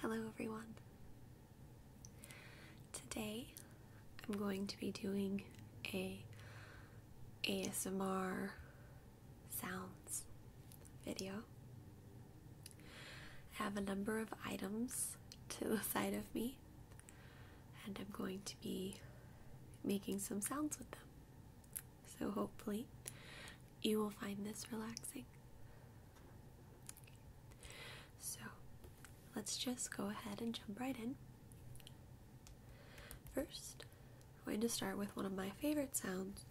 Hello, everyone. Today I'm going to be doing a ASMR sounds video. I have a number of items to the side of me and I'm going to be making some sounds with them. So, hopefully, you will find this relaxing. So, let's just go ahead and jump right in. First, I'm going to start with one of my favorite sounds,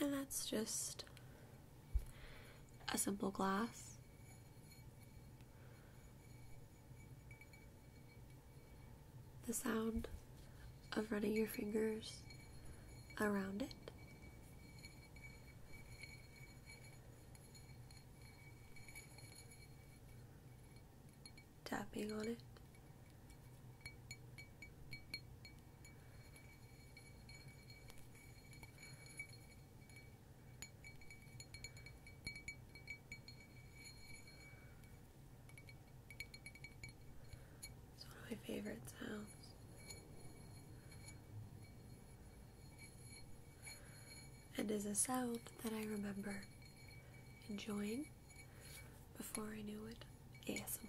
and that's just a simple glass. The sound of running your fingers around it. Tapping on it. It's one of my favorite sounds. And a sound that I remember enjoying before I knew it ASMR was.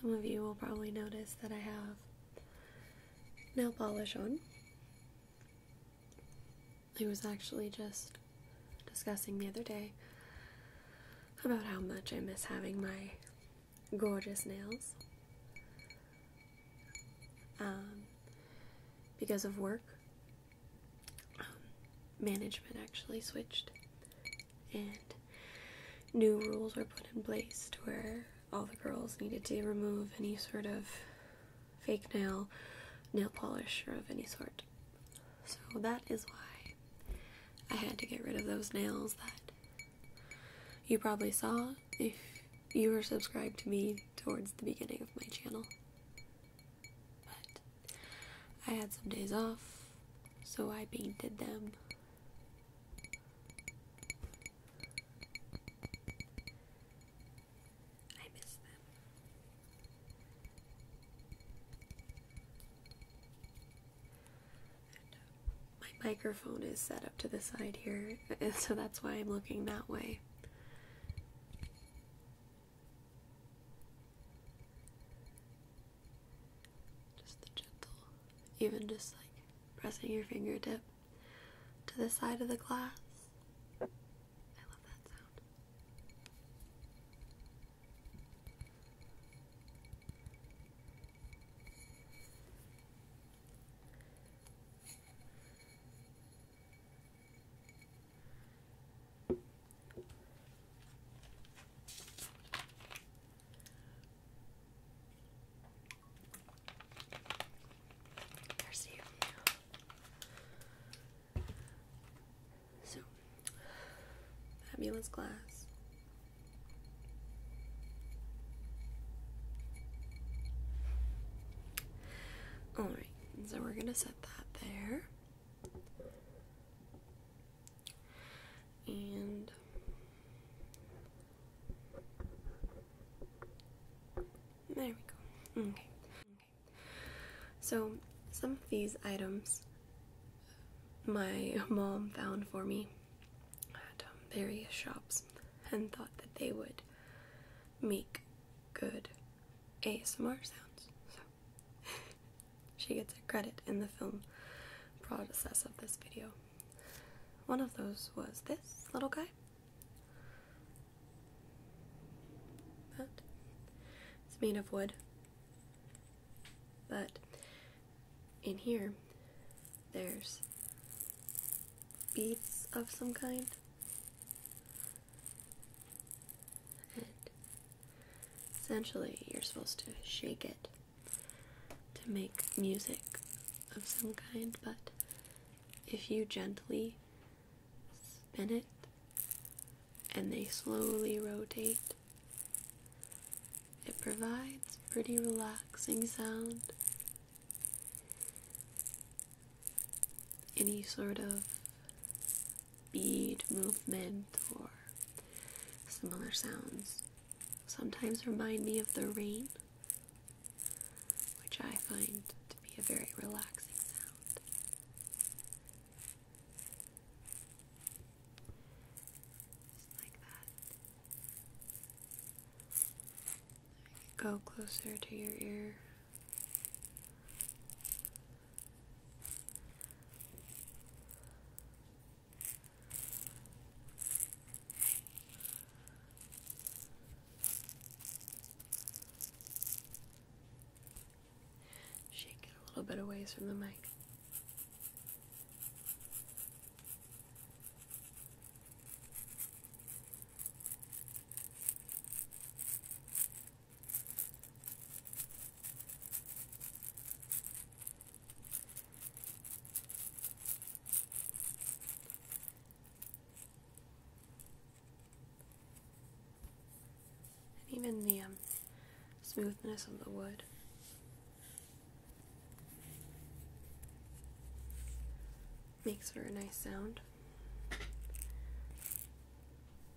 Some of you will probably notice that I have nail polish on. I was actually just discussing the other day about how much I miss having my gorgeous nails. Um, because of work, um, management actually switched and new rules were put in place to where all the girls needed to remove any sort of fake nail, nail polish, or of any sort. So that is why I had to get rid of those nails that you probably saw if you were subscribed to me towards the beginning of my channel. But I had some days off, so I painted them. I miss them. my microphone is set up to the side here, so that's why I'm looking that way. Just the gentle, even just like pressing your fingertip to the side of the glass. I love that sound. There's the So, fabulous glass. Alright, so we're gonna set that there. And there we go. Okay. okay. So, some of these items my mom found for me at um, various shops and thought that they would make good ASMR sounds. she gets a credit in the film process of this video. One of those was this little guy. That. It's made of wood. But in here, there's beads of some kind essentially, you're supposed to shake it to make music of some kind, but if you gently spin it and they slowly rotate, it provides pretty relaxing sound. Any sort of bead movement or similar sounds sometimes remind me of the rain, which I find to be a very relaxing sound. like that. Go closer to your ear. Shake it a little bit away from the mic. And even the um, smoothness of the wood. Makes for a nice sound.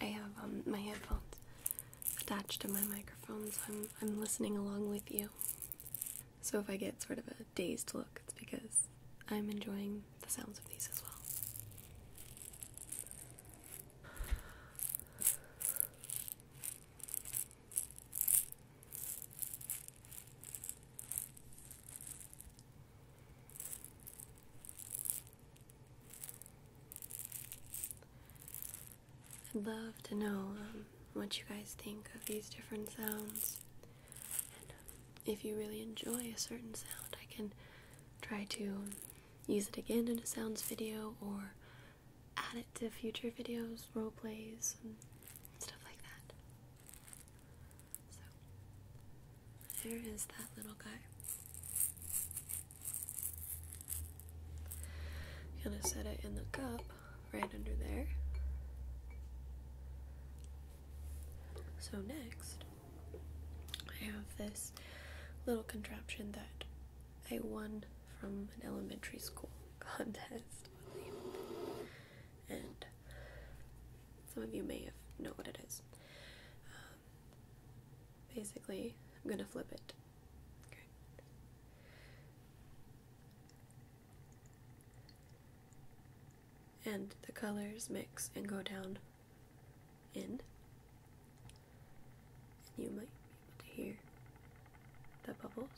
I have um, my headphones attached to my microphone, so I'm, I'm listening along with you. So if I get sort of a dazed look, it's because I'm enjoying the sounds of these as well. I'd love to know um, what you guys think of these different sounds. if you really enjoy a certain sound, I can try to use it again in a sounds video or add it to future videos, role plays, and stuff like that. So, there is that little guy. gonna set it in the cup right under there. So, next, I have this little contraption that I won from an elementary school contest. And some of you may know what it is. Um, basically, I'm gonna flip it. And the colors mix and go down And you might be able to hear the bubbles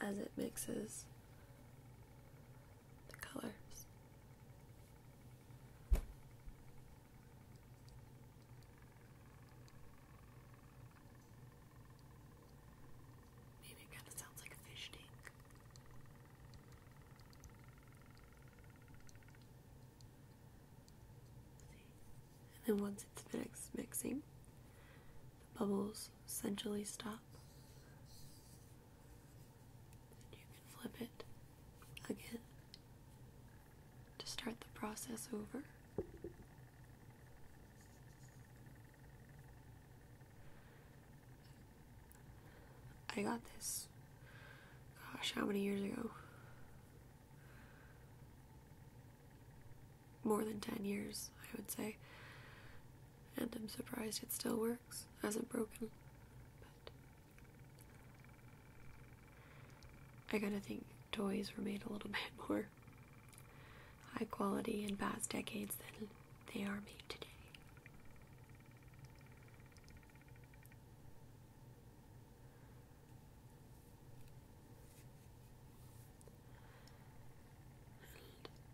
as it mixes the colors. Maybe it kind of sounds like a fish tank and then once it's finished mixing, the bubbles essentially stop. And you can flip it again to start the process over. I got this, gosh, how many years ago? more than 10 years, I would say. And I'm surprised it still works, hasn't broken. But I gotta think toys were made a little bit more high quality in past decades than they are made today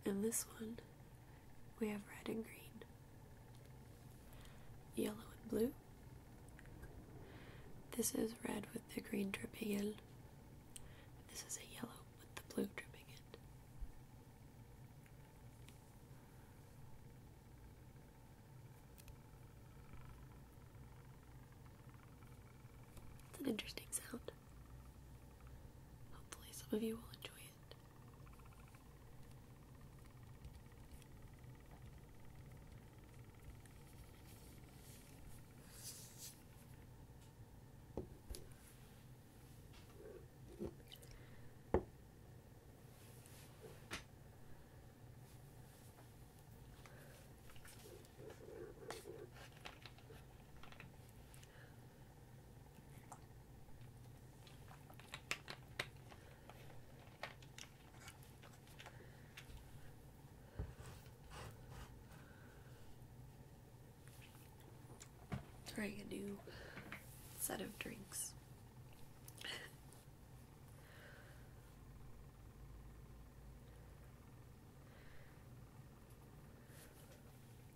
in this one, we have red and green, yellow and blue. This is red with the green dripping in. This is a yellow with the blue dripping. It's an interesting sound. Hopefully, some of you will enjoy it. Trying a new set of drinks.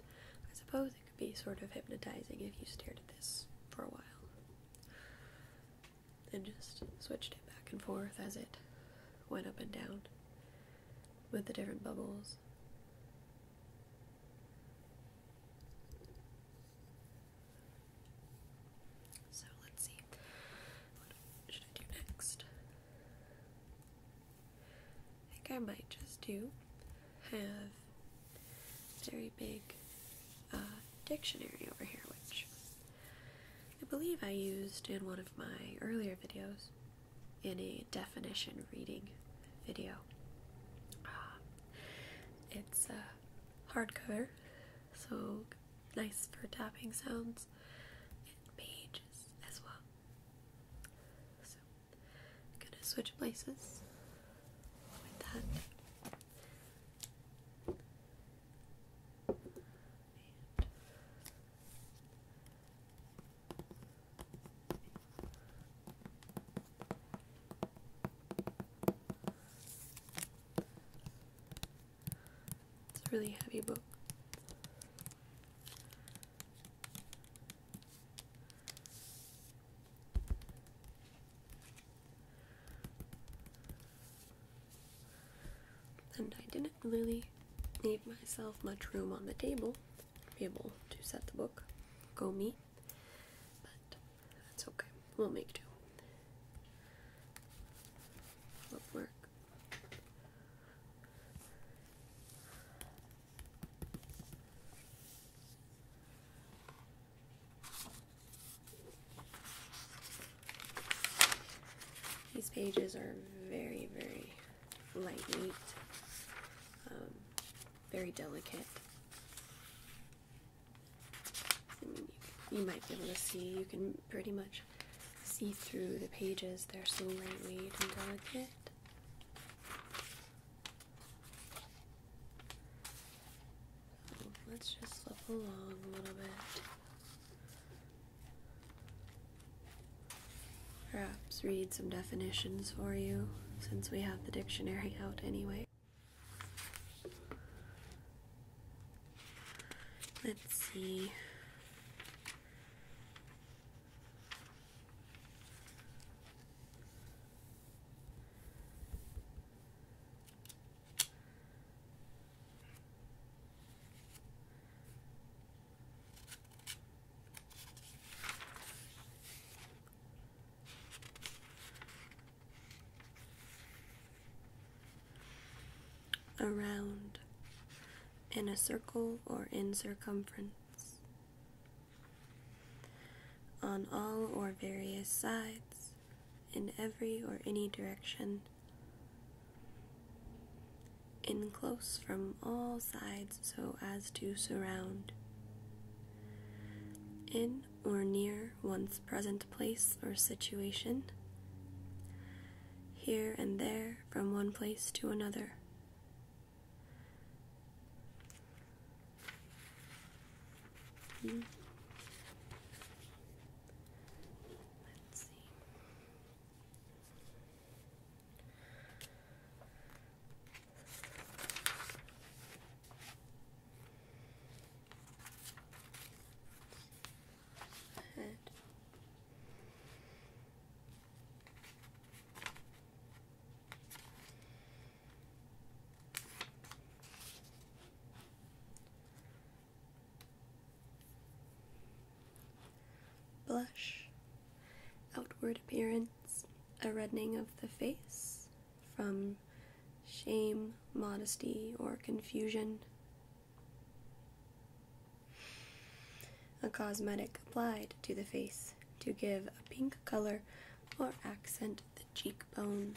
I suppose it could be sort of hypnotizing if you stared at this for a while and just switched it back and forth as it went up and down with the different bubbles. So let's see. What should I do next? I think I might just do have very big uh, dictionary over here, which I believe I used in one of my earlier videos in a definition reading video. Um, it's uh, hardcover, so nice for tapping sounds and pages as well. So gonna switch places with that. it's a really heavy book. And I didn't really leave myself much room on the table to be able to set the book, go me, but that's okay. We'll make do. Flip work. These pages are very, very lightweight, um, very delicate. I mean, you might be able to see, you can pretty much see through the pages. They're so lightweight and delicate let's just slip along a little bit. Perhaps read some definitions for you since we have the dictionary out anyway. Let's see. Around, in a circle or in circumference on all or various sides, in every or any direction, in close from all sides so as to surround, in or near one's present place or situation, here and there from one place to another. Hmm. Let's see. Blush, outward appearance, a reddening of the face from shame, modesty, or confusion. A cosmetic applied to the face to give a pink color or accent the cheekbones.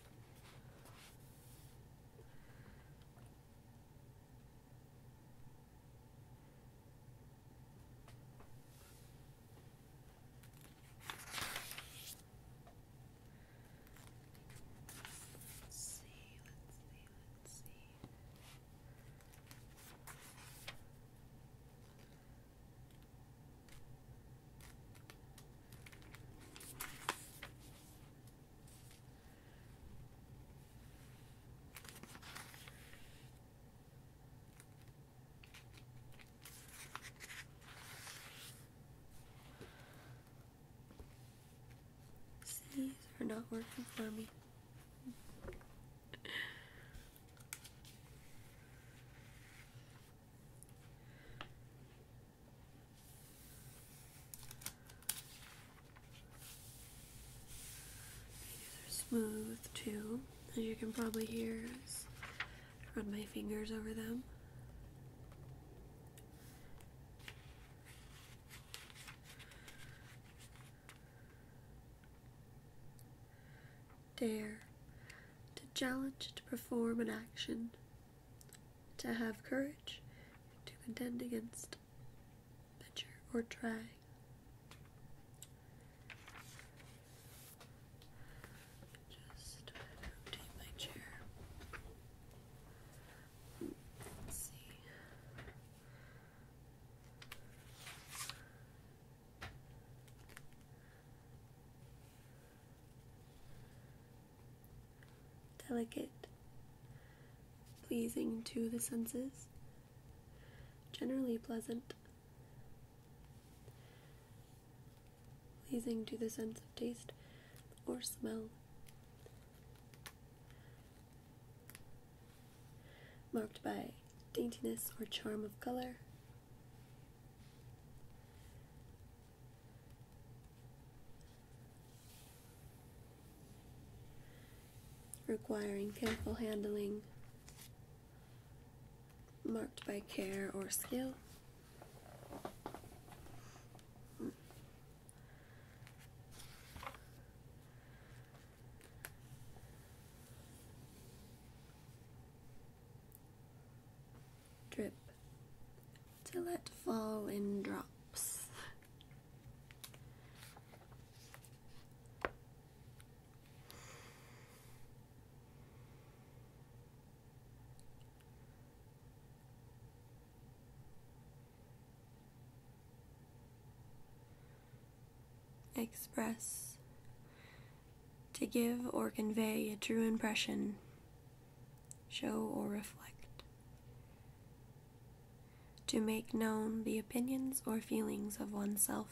Let's see, let's see, let's see. These are not working for me. These are smooth too, as you can probably hear as I run my fingers over them. Dare to challenge to perform an action to have courage to contend against, venture, or try. Just rotate my chair. Let's see delicate, pleasing to the senses, generally pleasant, pleasing to the sense of taste or smell. Marked by daintiness or charm of color, requiring careful handling marked by care or skill drip to let fall in drops. Express to give or convey a true impression show or reflect. To make known the opinions or feelings of oneself.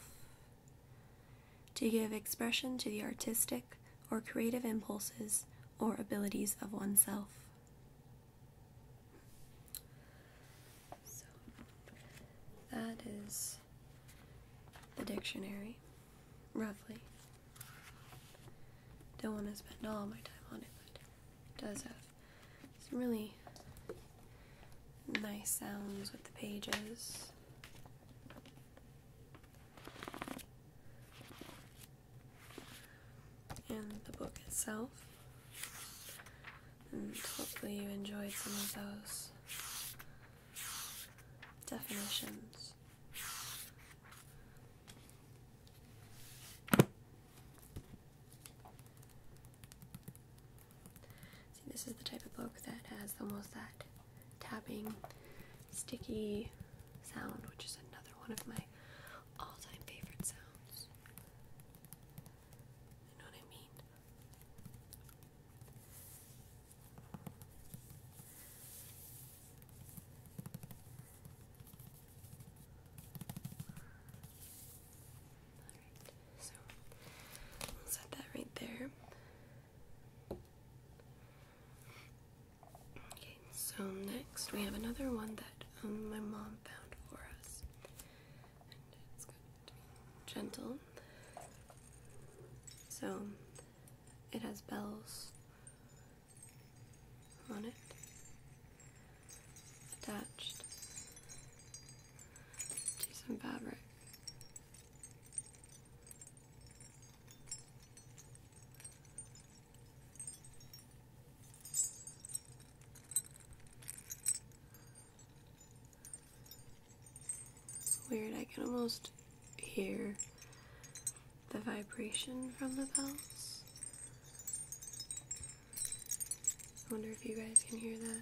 To give expression to the artistic or creative impulses or abilities of oneself. So, that is the dictionary. Roughly. Don't want to spend all my time on it, but it does have some really nice sounds with the pages. And the book itself. And hopefully you enjoyed some of those definitions this. See, this is the type of book that has almost that tapping, sticky sound, which is another one of my all time favorite sounds. You know what I mean? so we'll set that right there. Okay, so next we have another one that um, my mom found for us. it's going gentle. So it has bells on it attached to some fabric. weird, I can almost hear the vibration from the bells. I wonder if you guys can hear that.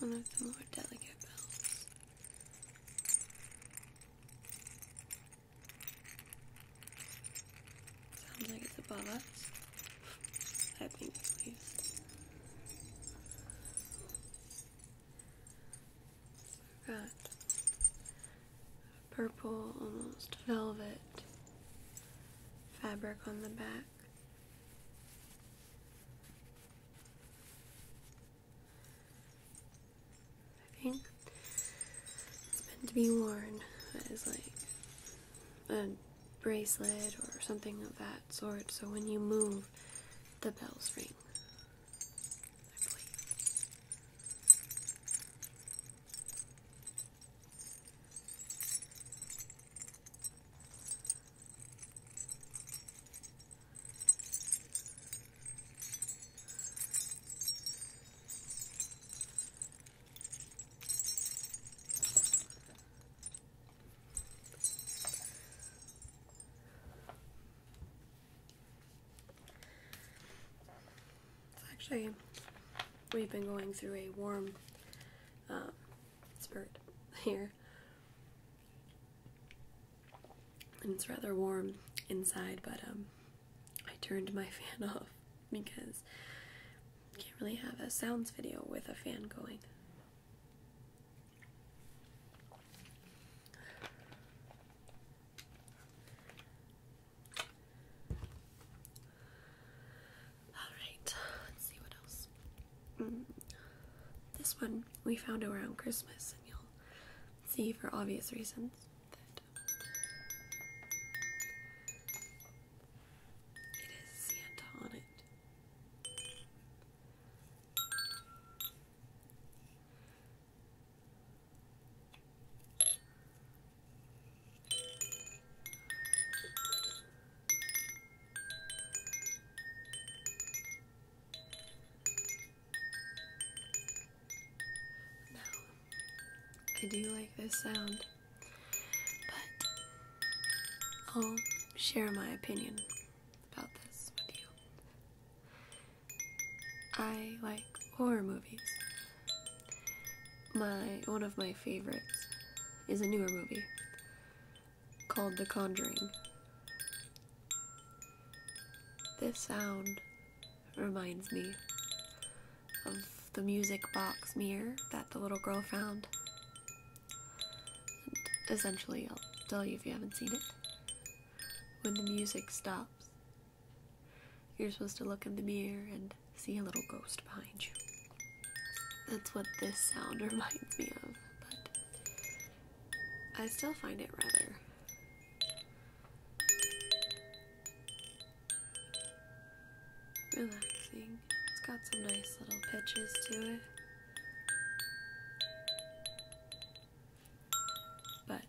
One of the more delicate bells. Sounds like it's above us. I think at Got purple, almost velvet fabric on the back. I think it's meant to be worn as like a bracelet or something of that sort, so when you move, the bells ring actually, we've been going through a warm um, spurt here. And it's rather warm inside, but um, I turned my fan off because you can't really have a sounds video with a fan going. Alright, let's see what else. Mm. This one we found around Christmas, and you'll see for obvious reasons that it is Santa on it. Now, I do like this sound. But I'll share my opinion about this with you. I like horror movies. My one of my favorites is a newer movie called The Conjuring. This sound reminds me of the music box mirror that the little girl found. essentially, I'll tell you if you haven't seen it. When the music stops, you're supposed to look in the mirror and see a little ghost behind you. That's what this sound reminds me of, but I still find it rather relaxing. It's got some nice little pitches to it. But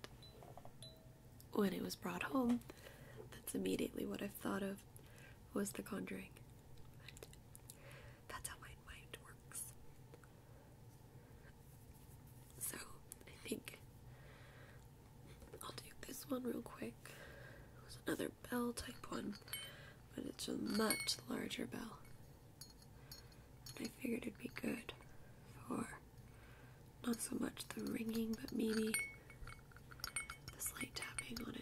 when it was brought home, that's immediately what I thought of was The Conjuring. that's how my mind works. So I think I'll do this one real quick. It was another bell type one, but it's a much larger bell. I figured it'd be good for not so much the ringing, but maybe the slight tapping on it.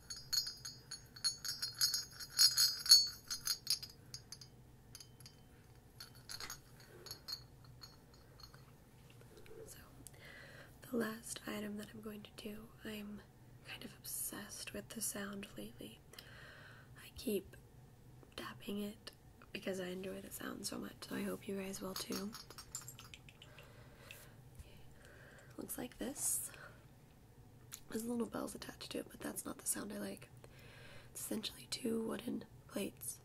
So, the last item that I'm going to do, I'm kind of obsessed with the sound lately. I keep tapping it because I enjoy the sound so much, so I hope you guys will too. Looks like this. There's little bells attached to it, but that's not the sound I like. It's essentially two wooden plates.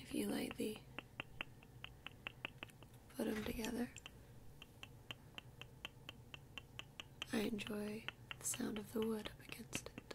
if you lightly put them together, I enjoy the sound of the wood up against it.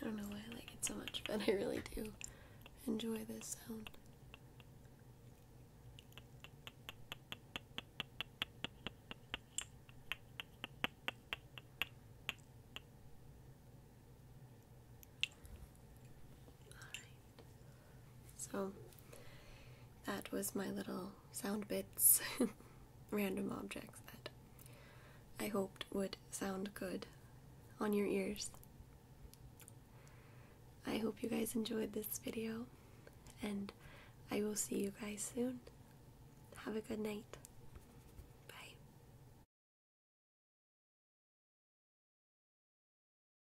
I don't know why I like it so much, but I really do enjoy this sound. So that was my little sound bits, random objects that I hoped would sound good on your ears. I hope you guys enjoyed this video, and I will see you guys soon. Have a good night. Bye.